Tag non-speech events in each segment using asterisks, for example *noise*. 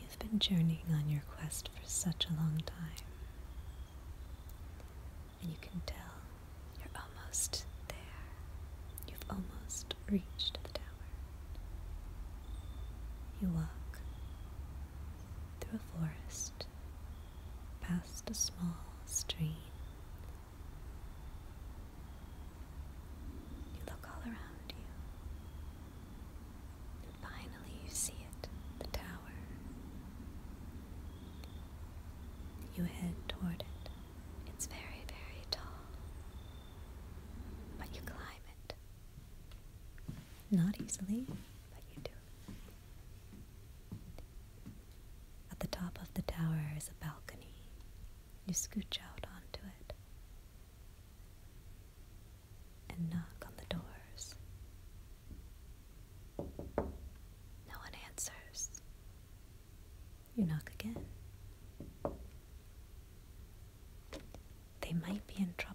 You've been journeying on your quest for such a long time, and you can tell you're almost there. You've almost reached the tower. You walk through a forest past a small stream. You look all around you, and finally you see it the tower. You head toward it. It's very, very tall, but you climb it. Not easily, but you do. At the top of the tower is a balcony. You scooch out onto it and knock on the doors. No one answers. You knock again. They might be in trouble.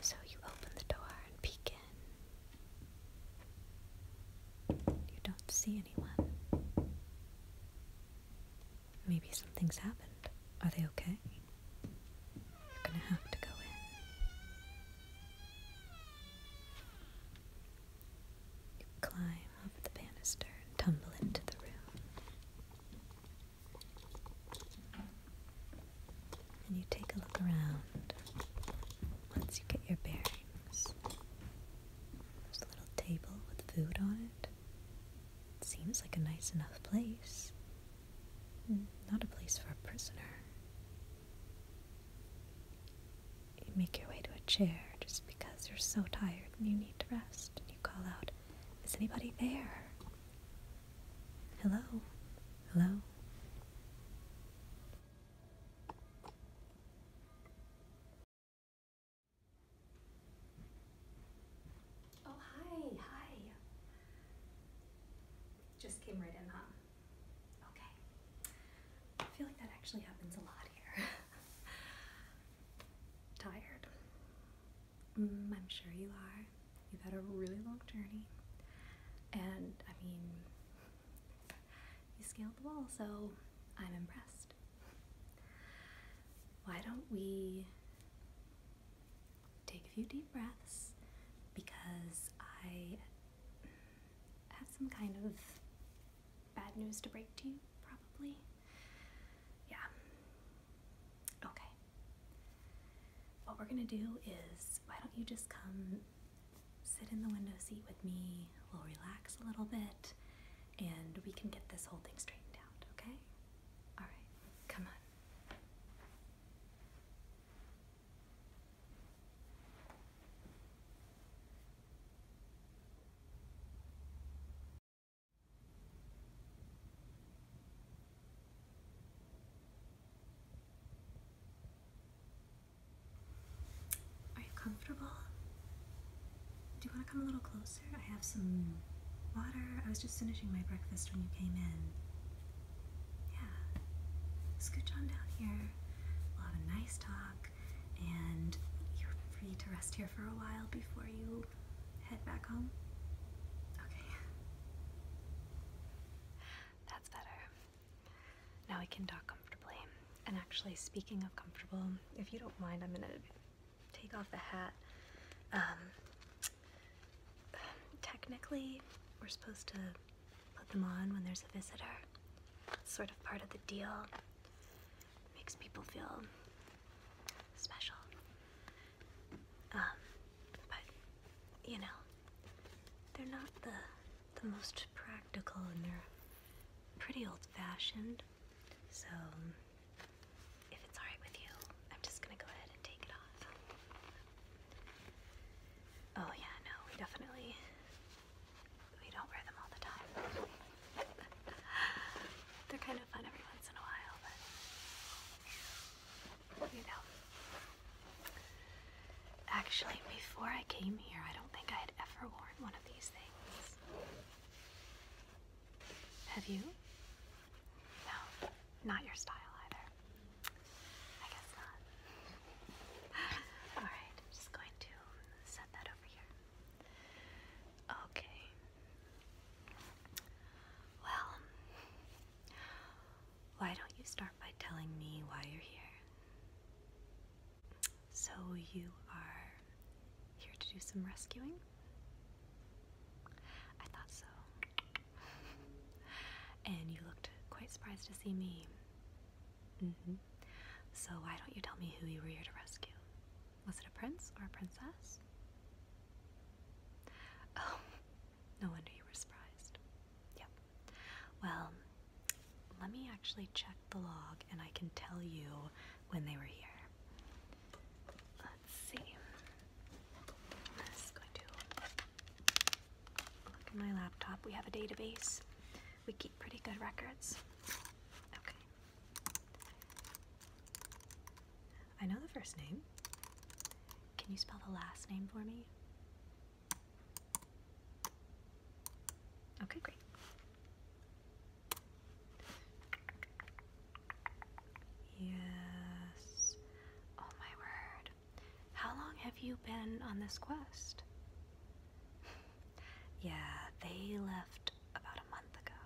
So you open the door and peek in. You don't see anyone. Maybe something's happened. Are they okay? You're gonna have to go in. You climb over the banister and tumble into the room and you take a look around once you get your bearings. There's a little table with food on it. seems like a nice enough place. Hmm, not a place for a prisoner. You make your way to a chair just because you're so tired and you need to rest, and you call out, Is anybody there? Hello. Hello. Oh, hi. Hi. Just came right in, huh? Okay. I feel like that actually happens a lot here. *laughs* Tired? Mm, I'm sure you are. You've had a really long journey. And I mean, you scaled the wall, so I'm impressed. Why don't we take a few deep breaths? Because I have some kind of bad news to break to you, probably. Yeah. Okay. What we're gonna do is why don't you just come sit in the window seat with me, we'll relax a little bit, and we can get this whole thing straightened out, okay? All right, come on. Are you comfortable? Do you want to come a little closer? I have some water. I was just finishing my breakfast when you came in. Yeah. Scooch on down here. We'll have a nice talk, and you're free to rest here for a while before you head back home. Okay. That's better. Now we can talk comfortably. And actually, speaking of comfortable, if you don't mind, I'm gonna take off the hat. Um, technically, we're supposed to put them on when there's a visitor. sort of part of the deal. makes people feel special. Um, but, you know, they're not the, the most practical and they're pretty old fashioned. So, if it's alright with you, I'm just gonna go ahead and take it off. Oh, yeah, no, we definitely. We don't wear them all the time. *laughs* They're kind of fun every once in a while, but you know. Actually, before I came here, I don't think I had ever worn one of these things. Have you? No, not your style either. I guess not. Alright, I'm just going to set that over here. Okay. Well, why don't you start by telling me why you're here? So, you are here to do some rescuing? I thought so. *laughs* and you looked quite surprised to see me. Mm-hmm. So, why don't you tell me who you were here to rescue? Was it a prince or a princess? *laughs* Oh, no wonder you were surprised. Yep. Well, let me actually check the log and I can tell you when they were here. Let's see. I'm just going to look at my laptop. We have a database. We keep pretty good records. Okay. I know the first name. Can you spell the last name for me? Okay, great. Yes. Oh my word. How long have you been on this quest? *laughs* yeah, they left about a month ago.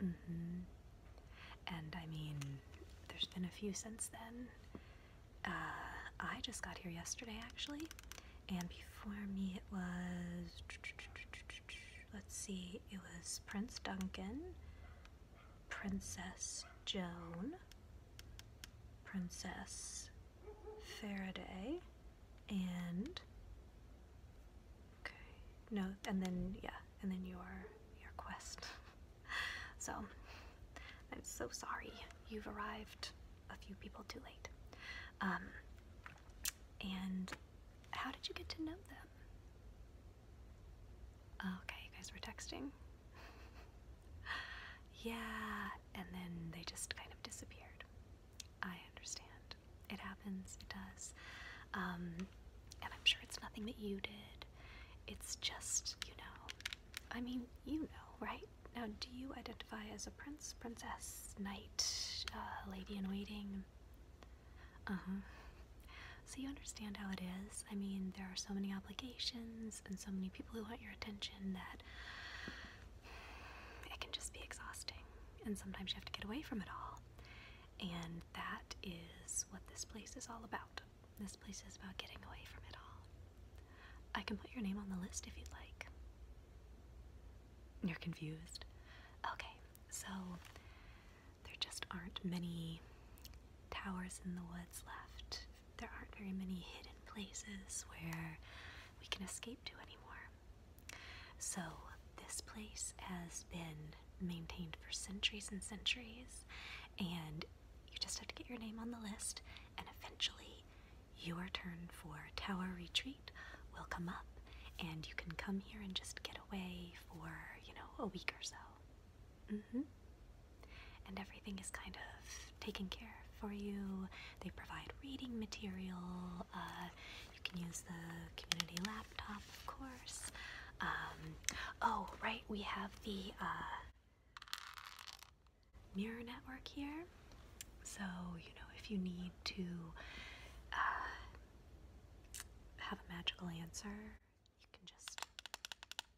hmm. And I mean, there's been a few since then. Uh, I just got here yesterday actually, and before me it was, let's see, it was Prince Duncan, Princess Joan, Princess Faraday, and okay, no, and then yeah, and then your your quest. *laughs* So I'm so sorry you've arrived a few people too late. Um, and how did you get to know them? Oh, okay, you guys were texting. *laughs* yeah, and then they just kind of disappeared. I understand. It happens, it does. Um, and I'm sure it's nothing that you did. It's just, you know, I mean, you know, right? Now, do you identify as a prince, princess, knight, uh, lady in waiting? Uh-huh. So you understand how it is. I mean, there are so many obligations and so many people who want your attention that it can just be exhausting. And sometimes you have to get away from it all. And that is what this place is all about. This place is about getting away from it all. I can put your name on the list if you'd like. You're confused? Okay, so there just aren't many towers in the woods left. There aren't very many hidden places where we can escape to anymore. So this place has been maintained for centuries and centuries, and you just have to get your name on the list and eventually your turn for Tower Retreat will come up, and you can come here and just get away for, you know, a week or so. Mm-hmm. And everything is kind of taken care of for you. They provide reading material. Uh, you can use the community laptop, of course. Um, oh, right, we have the uh, mirror network here. So, you know, if you need to uh, have a magical answer, you can just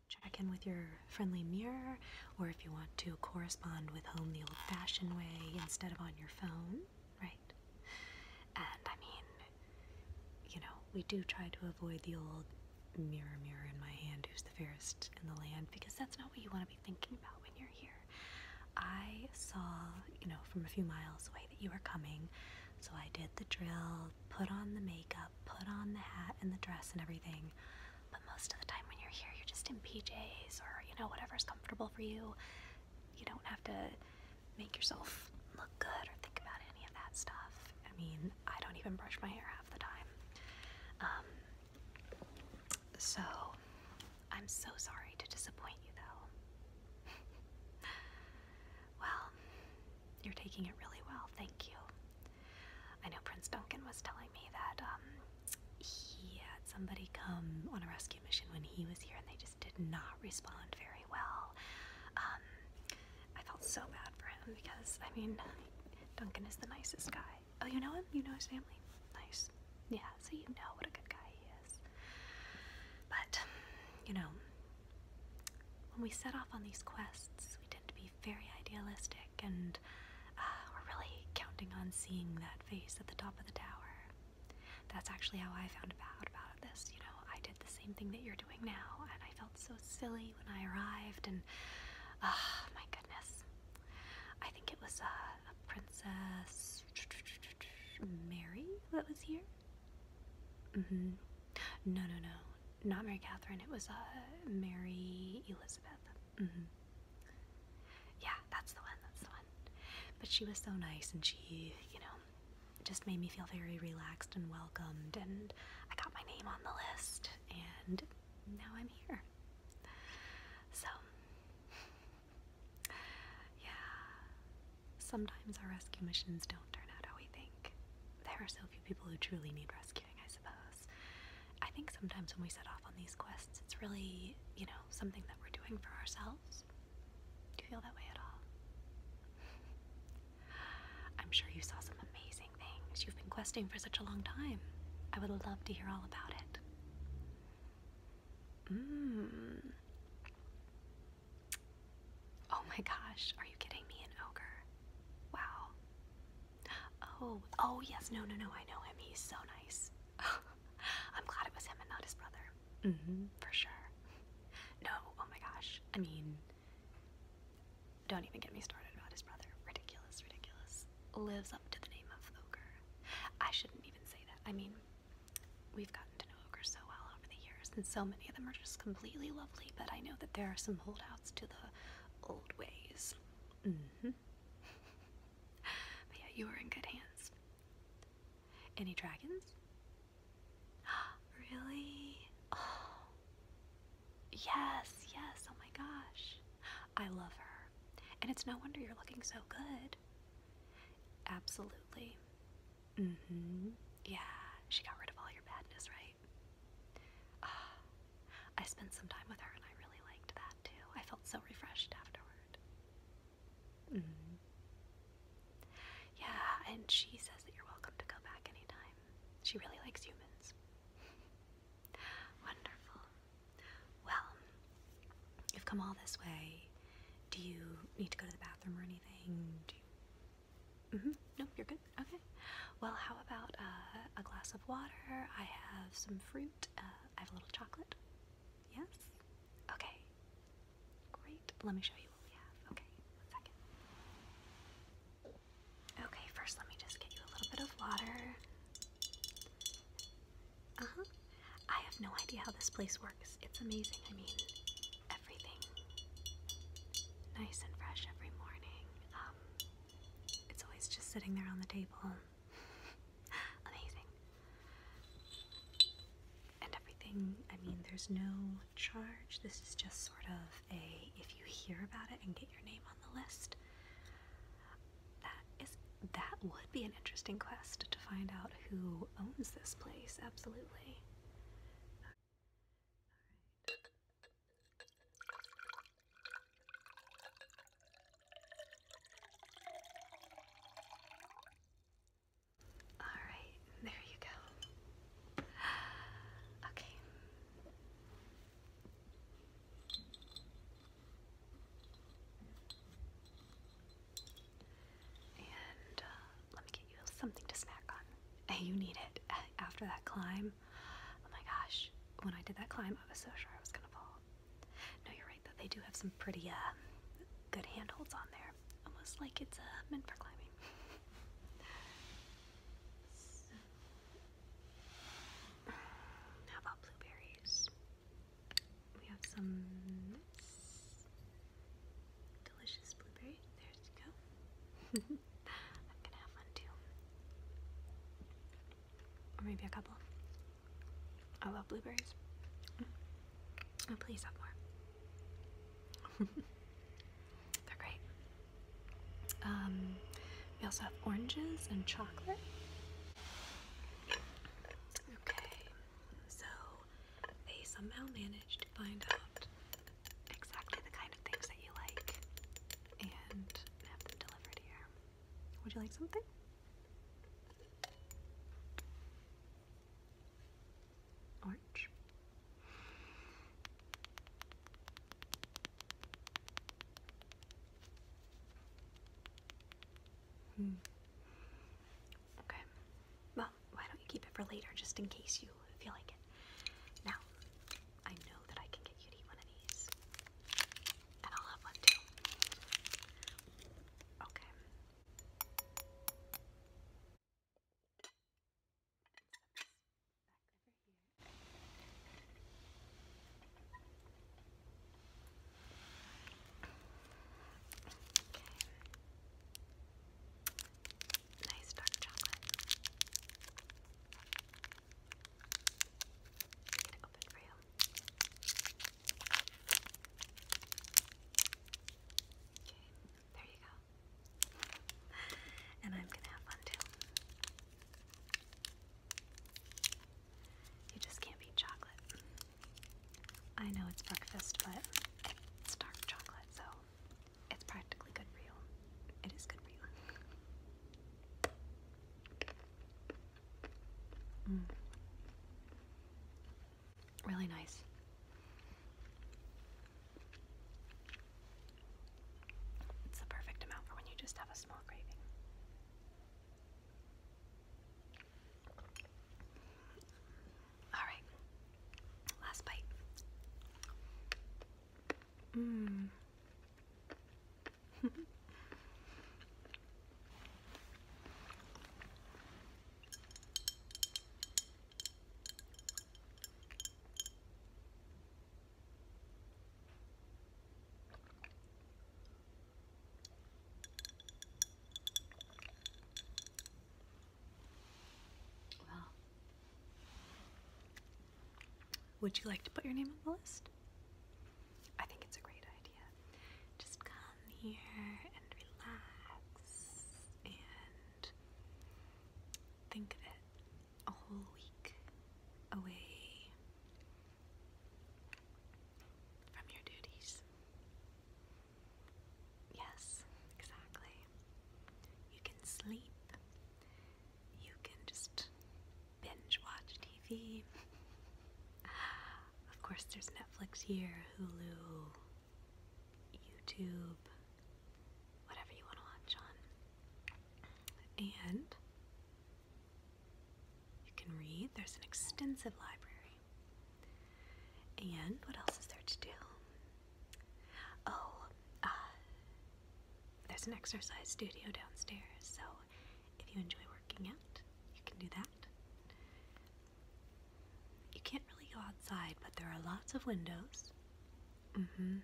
check in with your friendly mirror, or if you want to correspond with home the old fashioned way instead of on your phone, right? And I mean, you know, we do try to avoid the old mirror, mirror in my hand, who's the fairest in the land, because that's not what you want to be thinking about when you're here. I saw, you know, from a few miles away that you were coming, so I did the drill, put on the makeup, put on the hat and the dress and everything. But most of the time when you're here, you're just in PJs or, you know, whatever's comfortable for you. You don't have to make yourself look good or think about any of that stuff. I mean, I don't even brush my hair half the time. Um, so I'm so sorry to disappoint you though. *laughs* well, you're taking it really well, thank you. I know Prince Duncan was telling me that um, he had somebody come on a rescue mission when he was here and they just did not respond very well. Um, I felt so bad for him because, I mean, Duncan is the nicest guy. Oh, you know him? You know his family? Nice. Yeah, so you know what a good guy he is. But, you know, when we set off on these quests, we tend to be very idealistic and uh, we're really counting on seeing that face at the top of the tower. That's actually how I found out about this. You know, I did the same thing that you're doing now, and I felt so silly when I arrived, and oh, my goodness. I think it was a Princess Mary that was here. Mm-hmm. No, no, no, not Mary Catherine. It was uh, Mary Elizabeth. Mm-hmm. Yeah, that's the one. That's the one. But she was so nice, and she, you know, just made me feel very relaxed and welcomed. And I got my name on the list, and now I'm here. So, *laughs* yeah, sometimes our rescue missions don't turn out how we think. There are so few people who truly need rescuing, I suppose. I think sometimes when we set off on these quests, it's really, you know, something that we're doing for ourselves. Do you feel that way at all? *laughs* I'm sure you saw some amazing things. You've been questing for such a long time. I would love to hear all about it. Mmm. Oh my gosh, are you kidding me? An ogre. Wow. Oh, oh yes, no, no, no, I know him. He's so nice. *laughs* I'm glad it was him and not his brother. Mm hmm, for sure. *laughs* No, oh my gosh. I mean, don't even get me started about his brother. Ridiculous, ridiculous. Lives up to the name of Ogre. I shouldn't even say that. I mean, we've gotten to know Ogre so well over the years, and so many of them are just completely lovely, but I know that there are some holdouts to the old ways. hmm but yeah, you are in good hands. Any dragons? *gasps* really? Oh. Yes, yes, oh my gosh. I love her. And it's no wonder you're looking so good. Absolutely. Mm hmm. Yeah, she got rid of all your badness, right? Ah, I spent some time with her and I really liked that too. I felt so refreshed afterward. Mm-hmm. Yeah, and she says that you're welcome to go back anytime. She really likes humans. Wonderful. Well, you've come all this way. Do you need to go to the bathroom or anything? Do you... Mm-hmm. No, you're good. Okay. Well, how about uh, a glass of water? I have some fruit. Uh, I have a little chocolate. Yes? Okay. Great. Let me show you what we have. Okay, one second. Okay, first let me just give you a little bit of water. Uh huh. I have no idea how this place works. It's amazing. I mean, everything nice and fresh every morning. Um, it's always just sitting there on the table. *laughs* amazing. And everything, I mean, there's no charge. This is just sort of a if you hear about it and get your name on the list that is that would be an interesting quest to find out who owns this place. Absolutely. All right. there you go. *gasps* Okay. And uh, let me get you something to snack on. You need it *laughs* after that climb. Oh my gosh, when I did that climb, I was so sure I was gonna fall. No, you're right, though. They do have some pretty uh, good handholds on there, almost like it's uh, meant for climbing. *laughs* How about blueberries? We have some delicious blueberry. There you go. *laughs* I'm gonna have one too. Or maybe a couple. I love blueberries. Oh, please have more. *laughs* They're great. Um, we also have oranges and chocolate. Okay, so they somehow managed to find out exactly the kind of things that you like and have them delivered here. Would you like something? Orange. Hmm. Okay. Well, why don't you keep it for later just in case you feel like it? Now, I know that I can get you to eat one of these. And I'll have one too. Okay. Okay. Nice dark chocolate. I'm gonna open for you. Okay, there you go. and I'm gonna have fun too. You just can't beat chocolate. I know it's breakfast, but it's dark chocolate, so it's practically good for you. It is good for you. Mm. Really nice. It's the perfect amount for when you just have a small craving. All right, last bite. Mmm. Well, would you like to put your name on the list? I think it's a great idea. Just come here and relax and think of it a whole week away from your duties. Yes, exactly. You can sleep. You can just binge watch TV. of course, there's Netflix here, Hulu, YouTube, whatever you want to watch on. And you can read, there's an extensive library. And what else is there to do? Oh, uh, there's an exercise studio downstairs, so if you enjoy working out, you can do that. You can't really go outside, but there are lots of windows. Mm hmm.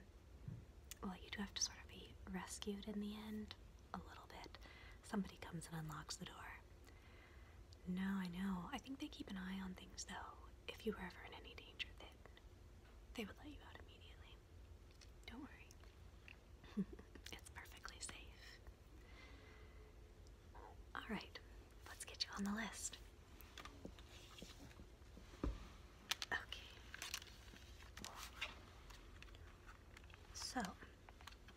Well, you do have to sort of be rescued in the end a little bit, somebody comes and unlocks the door. No, I know. I think they keep an eye on things, though. If you were ever in any danger, they, they would let you out immediately. Don't worry. *laughs* it's perfectly safe. All right, let's get you on the list. Okay. So,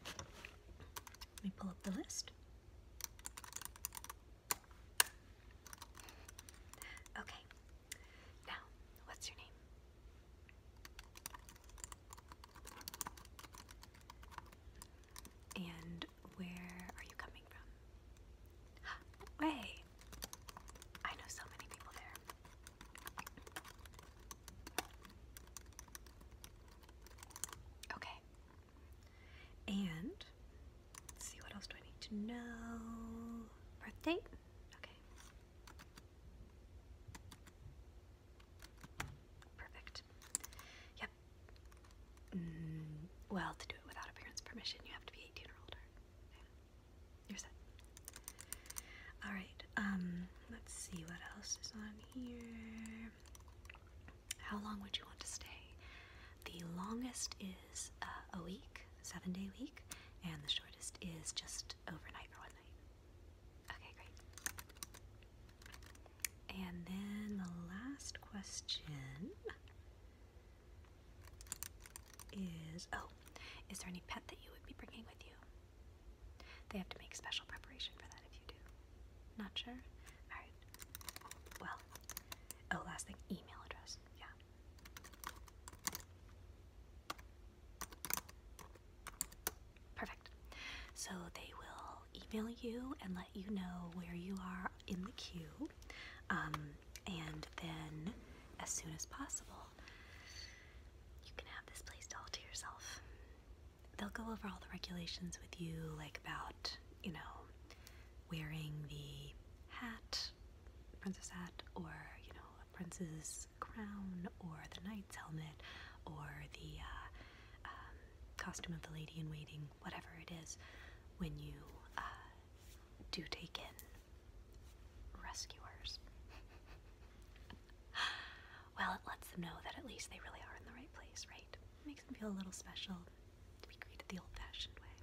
let me pull up the list. Okay. Now, what's your name? And where are you coming from? *gasps* Way! I know so many people there. Okay. And see what else do I need to know? Birth Okay. Perfect. Yep. Mm, well, to do it without a parent's permission, you have to be 18 or older. You're set. All right. Um, let's see what else is on here. How long would you want to stay? The longest is uh, a week, seven day week, and the shortest is just overnight or one night. Okay, great. And then the last question is oh, is there any pet that you would be bringing with you? They have to make special preparation for that if you do. Not sure? Alright. Well, oh, last thing email address. Yeah. Perfect. So they will email you and let you know where you are in the queue. Um, and then, as soon as possible, you can have this place all to yourself they'll go over all the regulations with you, like about, you know, wearing the hat, princess hat, or, you know, a prince's crown, or the knight's helmet, or the uh, um, costume of the lady in waiting, whatever it is, when you uh, do take in rescuers. *laughs* well, it lets them know that at least they really are in the right place, right? makes them feel a little special to be greeted the old fashioned way.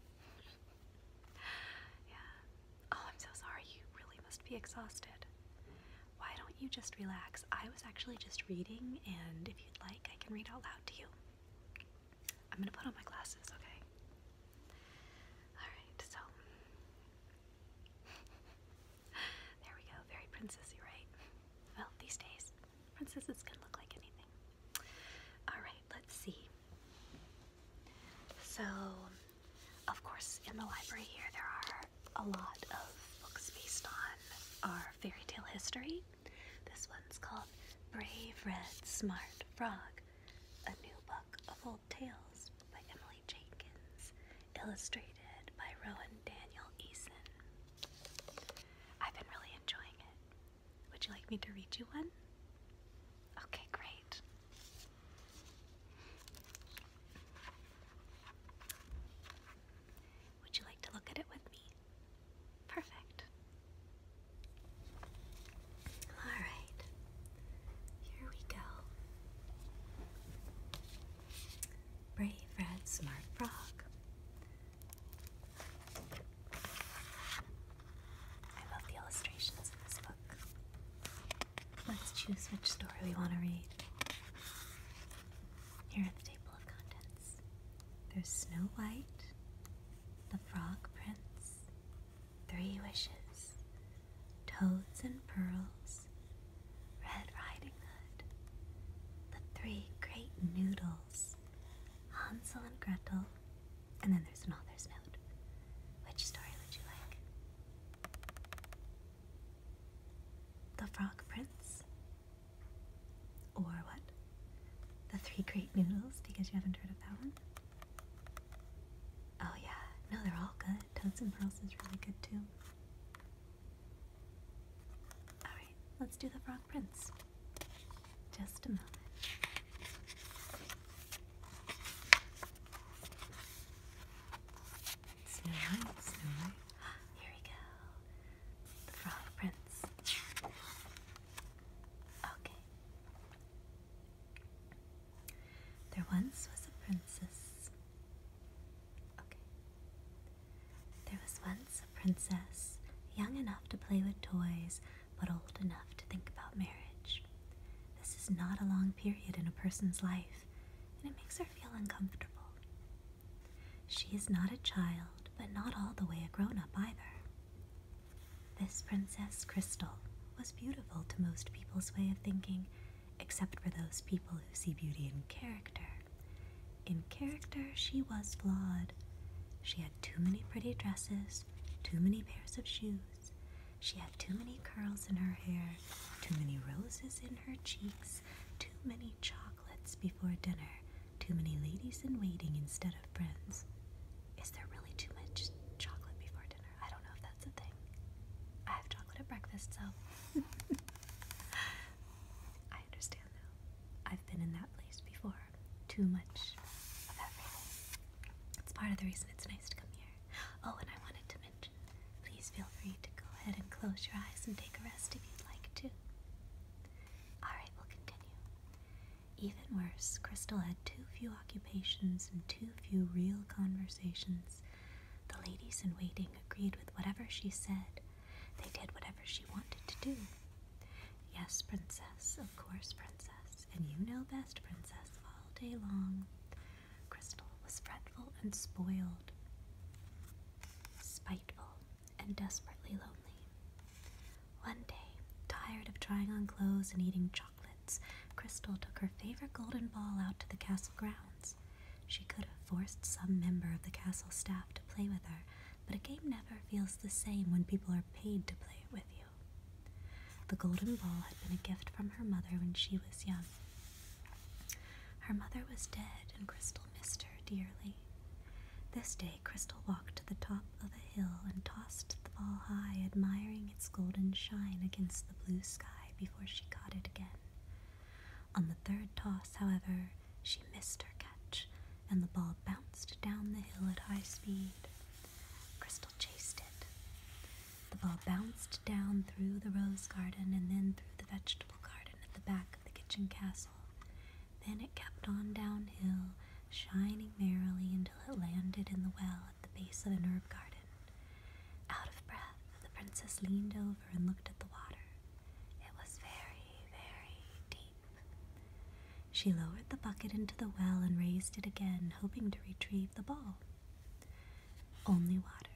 *laughs* yeah. Oh, I'm so sorry. You really must be exhausted. Why don't you just relax? I was actually just reading, and if you'd like, I can read out loud to you. I'm gonna put on my glasses, okay? Alright, so. *laughs* there we go. Very princessy, right? Well, these days, princesses can look like anything. Alright, let's see. So, of course, in the library here, there are a lot of books based on our fairy tale history. This one's called Brave Red Smart Frog, a new book of old tales by Emily Jenkins, illustrated by Rowan Daniel Eason. I've been really enjoying it. Would you like me to read you one? Okay, great. Would you like to look at it with me? Perfect. All right. Here we go. Brave red smart frog. I love the illustrations in this book. Let's choose which story we want to read. Here the table of contents there's Snow White, the Frog Prince, Three Wishes, Toads and Pearls, Red Riding Hood, the three great noodles, Hansel and Gretel, and then there's an author's note. Which story would you like? The Frog Prince? Or what? The Three Great Noodles, because you haven't heard of that one? Oh, yeah. No, they're all good. Toads and Pearls is really good too. Alright, let's do the frog prince. Just a moment. Snow White, *gasps* Here we go. The frog prince. Okay. There once was a princess there was once a princess, young enough to play with toys, but old enough to think about marriage. This is not a long period in a person's life, and it makes her feel uncomfortable. She is not a child, but not all the way a grown up either. This Princess Crystal was beautiful to most people's way of thinking except for those people who see beauty in character. In character, she was flawed. She had too many pretty dresses, too many pairs of shoes. She had too many curls in her hair, too many roses in her cheeks, too many chocolates before dinner, too many ladies in waiting instead of friends. Is there really too much chocolate before dinner? I don't know if that's a thing. I have chocolate at breakfast, so. *laughs* I understand now. I've been in that place before. Too much of everything. It's part of the reason it's nice to come here. Oh, and I wanted to mention please feel free to go ahead and close your eyes and take a rest if you'd like to. Alright, we'll continue. Even worse, Crystal had too few occupations and too few real conversations the ladies in waiting agreed with whatever she said. They did whatever she wanted to do. Yes, princess, of course, princess, and you know best, princess, all day long. Crystal was fretful and spoiled, spiteful, and desperately lonely. One day, tired of trying on clothes and eating chocolates, Crystal took her favorite golden ball out to the castle grounds. She could have forced some member of the castle staff to play with her, but a game never feels the same when people are paid to play it with you. The golden ball had been a gift from her mother when she was young. Her mother was dead, and Crystal missed her dearly. This day, Crystal walked to the top of a hill and tossed the ball high, admiring its golden shine against the blue sky before she caught it again. On the third toss, however, she missed her catch, and the ball bounced down the hill at high speed. Crystal chased it. The ball bounced down through the rose garden and then through the vegetable garden at the back of the kitchen castle. Then it kept on downhill, shining merrily until it landed in the well at the base of the herb garden. Out of breath, the princess leaned over and looked at the water. It was very, very deep. She lowered the bucket into the well and raised it again, hoping to retrieve the ball. Only water.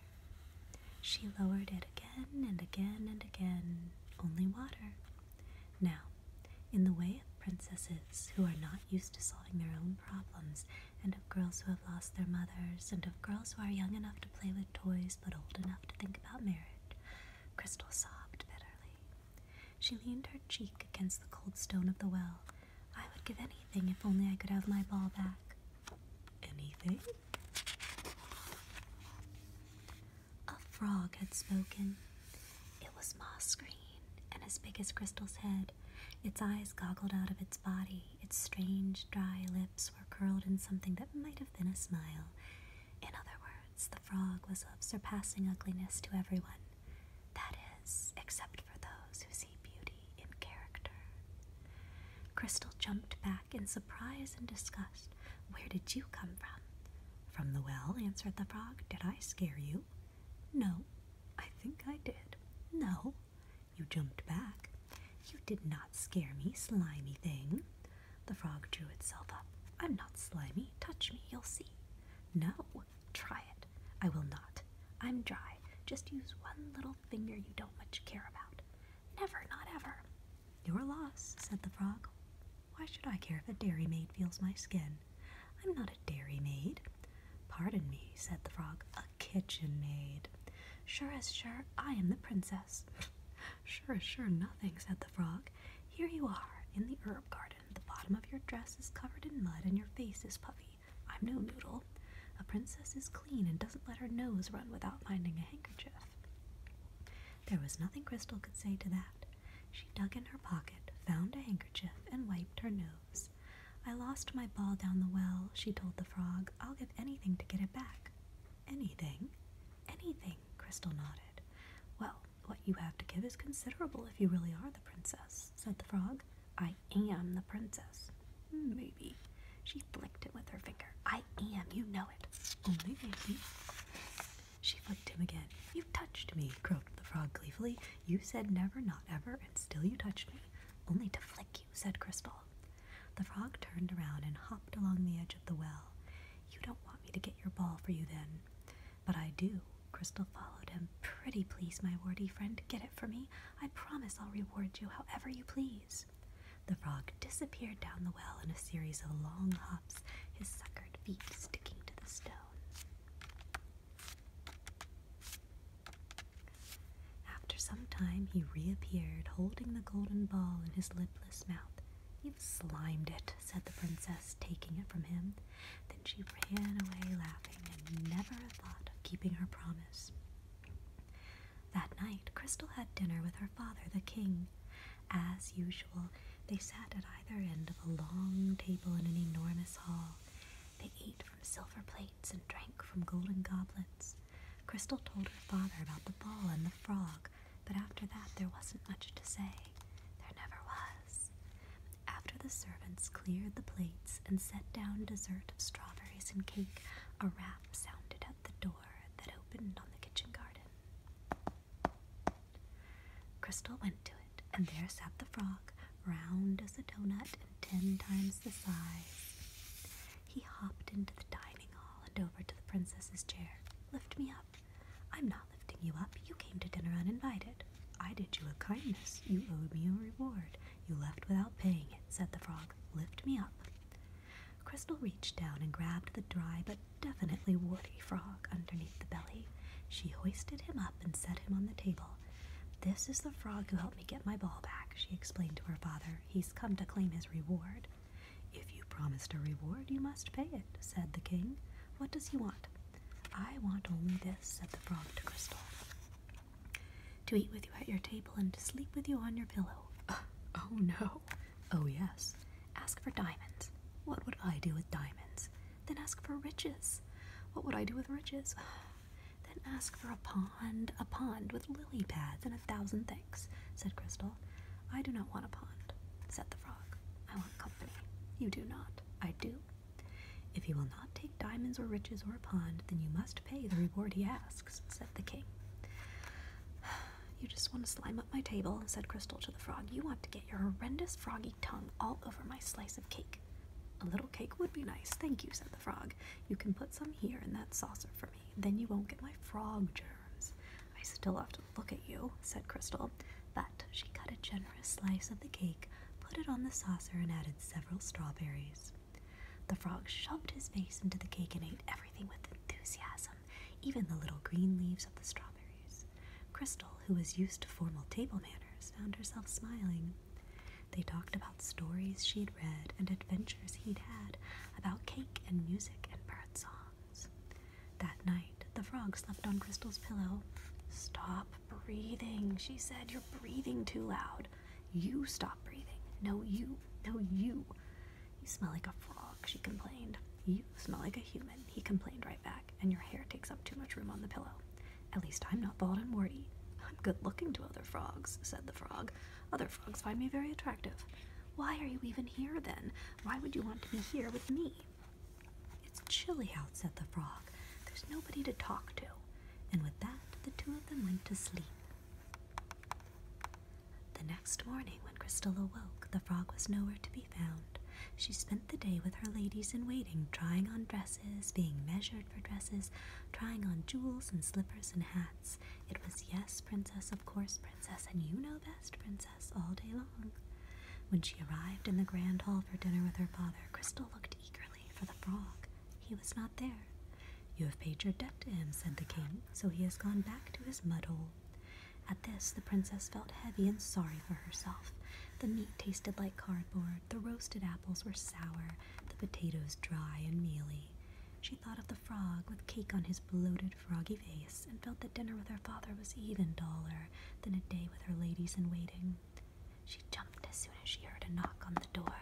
She lowered it again and again and again. Only water. Now, in the way of princesses who are not used to solving their own problems, and of girls who have lost their mothers, and girls who are young enough to play with toys but old enough to think about marriage. Crystal sobbed bitterly. She leaned her cheek against the cold stone of the well. I would give anything if only I could have my ball back. Anything? A frog had spoken. It was moss green and as big as Crystal's head, its eyes goggled out of its body, its strange, dry lips were curled in something that might have been a smile. In other words, the frog was of surpassing ugliness to everyone. That is, except for those who see beauty in character. Crystal jumped back in surprise and disgust. Where did you come from? From the well, answered the frog. Did I scare you? No. I think I did. No. You jumped back. You did not scare me, slimy thing. The frog drew itself up. I'm not slimy. Touch me, you'll see. No, try it. I will not. I'm dry. Just use one little finger you don't much care about. Never, not ever. Your loss, said the frog. Why should I care if a dairy maid feels my skin? I'm not a dairy maid. Pardon me, said the frog, a kitchen maid. Sure as sure, I am the princess. Sure, sure, nothing, said the frog. Here you are, in the herb garden. The bottom of your dress is covered in mud and your face is puffy. I'm no noodle. A princess is clean and doesn't let her nose run without finding a handkerchief. There was nothing Crystal could say to that. She dug in her pocket, found a handkerchief, and wiped her nose. I lost my ball down the well, she told the frog. I'll give anything to get it back. Anything? Anything, Crystal nodded. Well, what you have to give is considerable if you really are the princess, said the frog. I am the princess. Hmm, maybe. She flicked it with her finger. I am, you know it. Only maybe. She flicked him again. You have touched me, croaked the frog gleefully. You said never, not ever, and still you touched me. Only to flick you, said Crystal. The frog turned around and hopped along the edge of the well. You don't want me to get your ball for you then. But I do. Crystal followed him. Pretty please, my warty friend, get it for me. I promise I'll reward you however you please. The frog disappeared down the well in a series of long hops, his suckered feet sticking to the stone. After some time, he reappeared, holding the golden ball in his limp lipless mouth. You've slimed it, said the princess, taking it from him. Then she ran away laughing and never thought of keeping her promise. That night, Crystal had dinner with her father, the king. As usual, they sat at either end of a long table in an enormous hall. They ate from silver plates and drank from golden goblets. Crystal told her father about the ball and the frog, but after that there wasn't much to say. There never was. After the servants cleared the plates and set down dessert of strawberries and cake, a rap sounded at the door that opened on the kitchen garden. Crystal went to it, and there sat the frog, round as a doughnut and ten times the size. He hopped into the dining hall and over to the princess's chair. Lift me up. I'm not lifting you up. You came to dinner uninvited. I did you a kindness. You owed me a reward. You left without paying it, said the frog. Lift me up. Crystal reached down and grabbed the dry but definitely woody frog underneath the belly. She hoisted him up and set him on the table. This is the frog who helped me get my ball back, she explained to her father. He's come to claim his reward. If you promised a reward, you must pay it, said the king. What does he want? I want only this, said the frog to Crystal. To eat with you at your table and to sleep with you on your pillow. *laughs* oh no. Oh yes. Ask for diamonds. What would I do with diamonds? Then ask for riches. What would I do with riches? *sighs* Then ask for a pond, a pond with lily pads and a thousand things, said Crystal. I do not want a pond, said the frog. I want company. You do not. I do. If you will not take diamonds or riches or a pond, then you must pay the reward he asks, said the king. *sighs* You just want to slime up my table, said Crystal to the frog. You want to get your horrendous froggy tongue all over my slice of cake. A little cake would be nice, thank you, said the frog. You can put some here in that saucer for me. Then you won't get my frog germs. I still have to look at you, said Crystal. But she cut a generous slice of the cake, put it on the saucer, and added several strawberries. The frog shoved his face into the cake and ate everything with enthusiasm, even the little green leaves of the strawberries. Crystal, who was used to formal table manners, found herself smiling. They talked about stories she'd read and adventures he'd had, about cake and music and bird song. That night, the frog slept on Crystal's pillow. Stop breathing, she said. You're breathing too loud. You stop breathing. No, you. No, you. You smell like a frog, she complained. You smell like a human, he complained right back, and your hair takes up too much room on the pillow. At least I'm not bald and warty. I'm good looking to other frogs, said the frog. Other frogs find me very attractive. Why are you even here then? Why would you want to be here with me? It's chilly out, said the frog. There's nobody to talk to. And with that, the two of them went to sleep. The next morning, when Crystal awoke, the frog was nowhere to be found. She spent the day with her ladies in waiting, trying on dresses, being measured for dresses, trying on jewels and slippers and hats. It was yes, princess, of course, princess, and you know best, princess, all day long. When she arrived in the grand hall for dinner with her father, Crystal looked eagerly for the frog. He was not there. You have paid your debt to him, said the king, so he has gone back to his mud hole. At this, the princess felt heavy and sorry for herself. The meat tasted like cardboard, the roasted apples were sour, the potatoes dry and mealy. She thought of the frog with cake on his his bloated, froggy face, and felt that dinner with her father was even duller than a day with her ladies in waiting. She jumped as soon as she heard a knock on the door,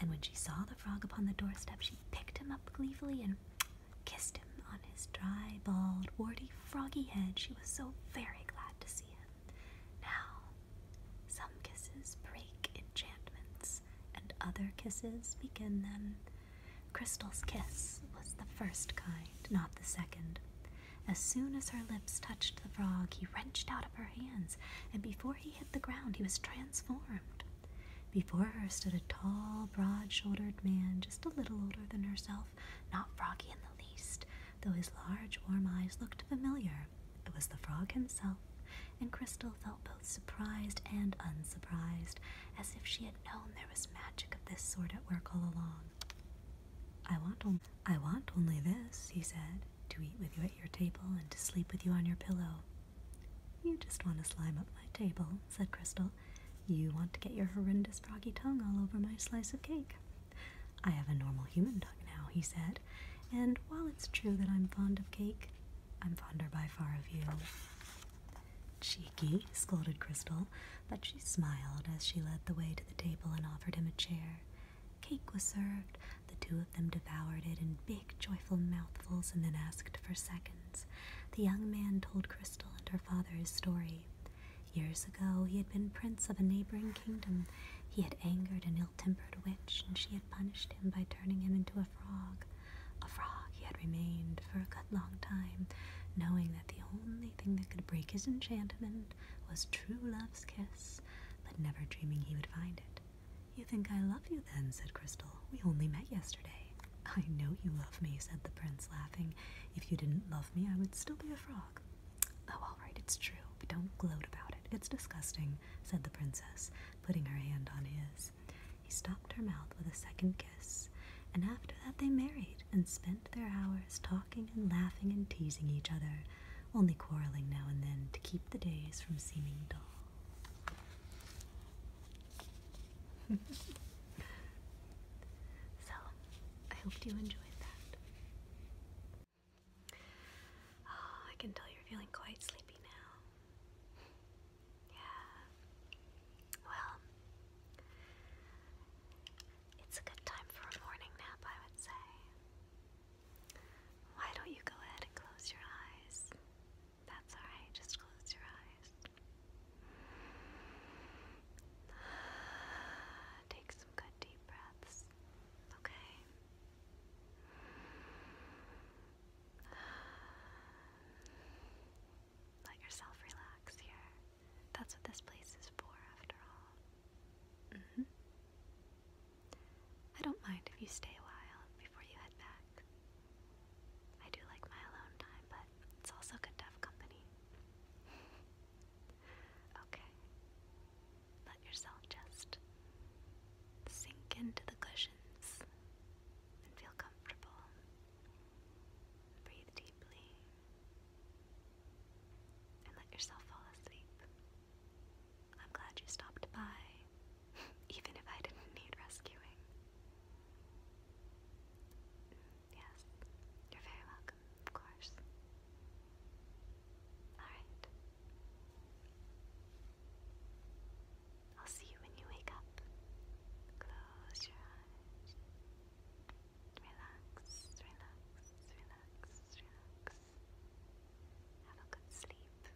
and when she saw the frog upon the doorstep, she picked him up gleefully and kissed him on his dry, bald, warty, froggy head. She was so very glad to see him. Now, some kisses break enchantments, and other kisses begin them. Crystal's kiss was the first kind, not the second. As soon as her lips touched the frog, he wrenched out of her hands, and before he hit the ground, he was transformed. Before her stood a tall, broad shouldered man, just a little older than herself, not froggy in the least, though his large, warm eyes looked familiar. It was the frog himself, and Crystal felt both surprised and unsurprised, as if she had known there was magic of this sort at work all along. I want, I want only this, he said, to eat with you at your table and to sleep with you on your pillow. You just want to slime up my table, said Crystal. You want to get your horrendous froggy tongue all over my slice of cake. I have a normal human tongue now, he said, and while it's true that I'm fond of cake, I'm fonder by far of you. Cheeky, scolded Crystal, but she smiled as she led the way to the table and offered him a chair. Cake was served. The two of them devoured it in big, joyful mouthfuls and then asked for seconds. The young man told Crystal and her father his story. Years ago, he had been prince of a neighboring kingdom. He had angered an ill tempered witch, and she had punished him by turning him into a frog. A frog he had remained for a good long time, knowing that the only thing that could break his enchantment was true love's kiss, but never dreaming he would find it. You think I love you then, said Crystal. We only met yesterday. I know you love me, said the prince, laughing. If you didn't love me, I would still be a frog. Oh, all right, it's true, but don't gloat about it. It's disgusting, said the princess, putting her hand on his he stopped her mouth with a second kiss, and after that they married and spent their hours talking and laughing and teasing each other, only quarreling now and then to keep the days from seeming dull. *laughs* so, I hope you enjoyed that. Ah, I can tell you're feeling quite sleepy now. Yeah. Well, it's a good time for a morning nap, I would say. Why don't you go ahead and close your eyes? That's alright, just close your eyes. *sighs* Take some good deep breaths, okay? *sighs* Let yourself relax here. That's what this place is for, after all. Mm-hmm. I don't mind if you stay a while before you head back. I do like my alone time, but it's also good to have company. *laughs* okay. Let yourself just sink into the cushions and feel comfortable. Breathe deeply and let yourself fall asleep. I'm glad you stopped by, *laughs* even if I didn't need rescuing. Mm, yes, you're very welcome, of course. Alright. I'll see you when you wake up. Close your eyes. Relax, relax, relax, relax. Have a good sleep.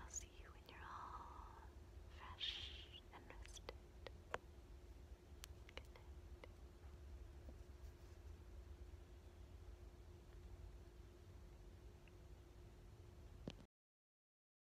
I'll see you when you're all fresh and rested. Good night.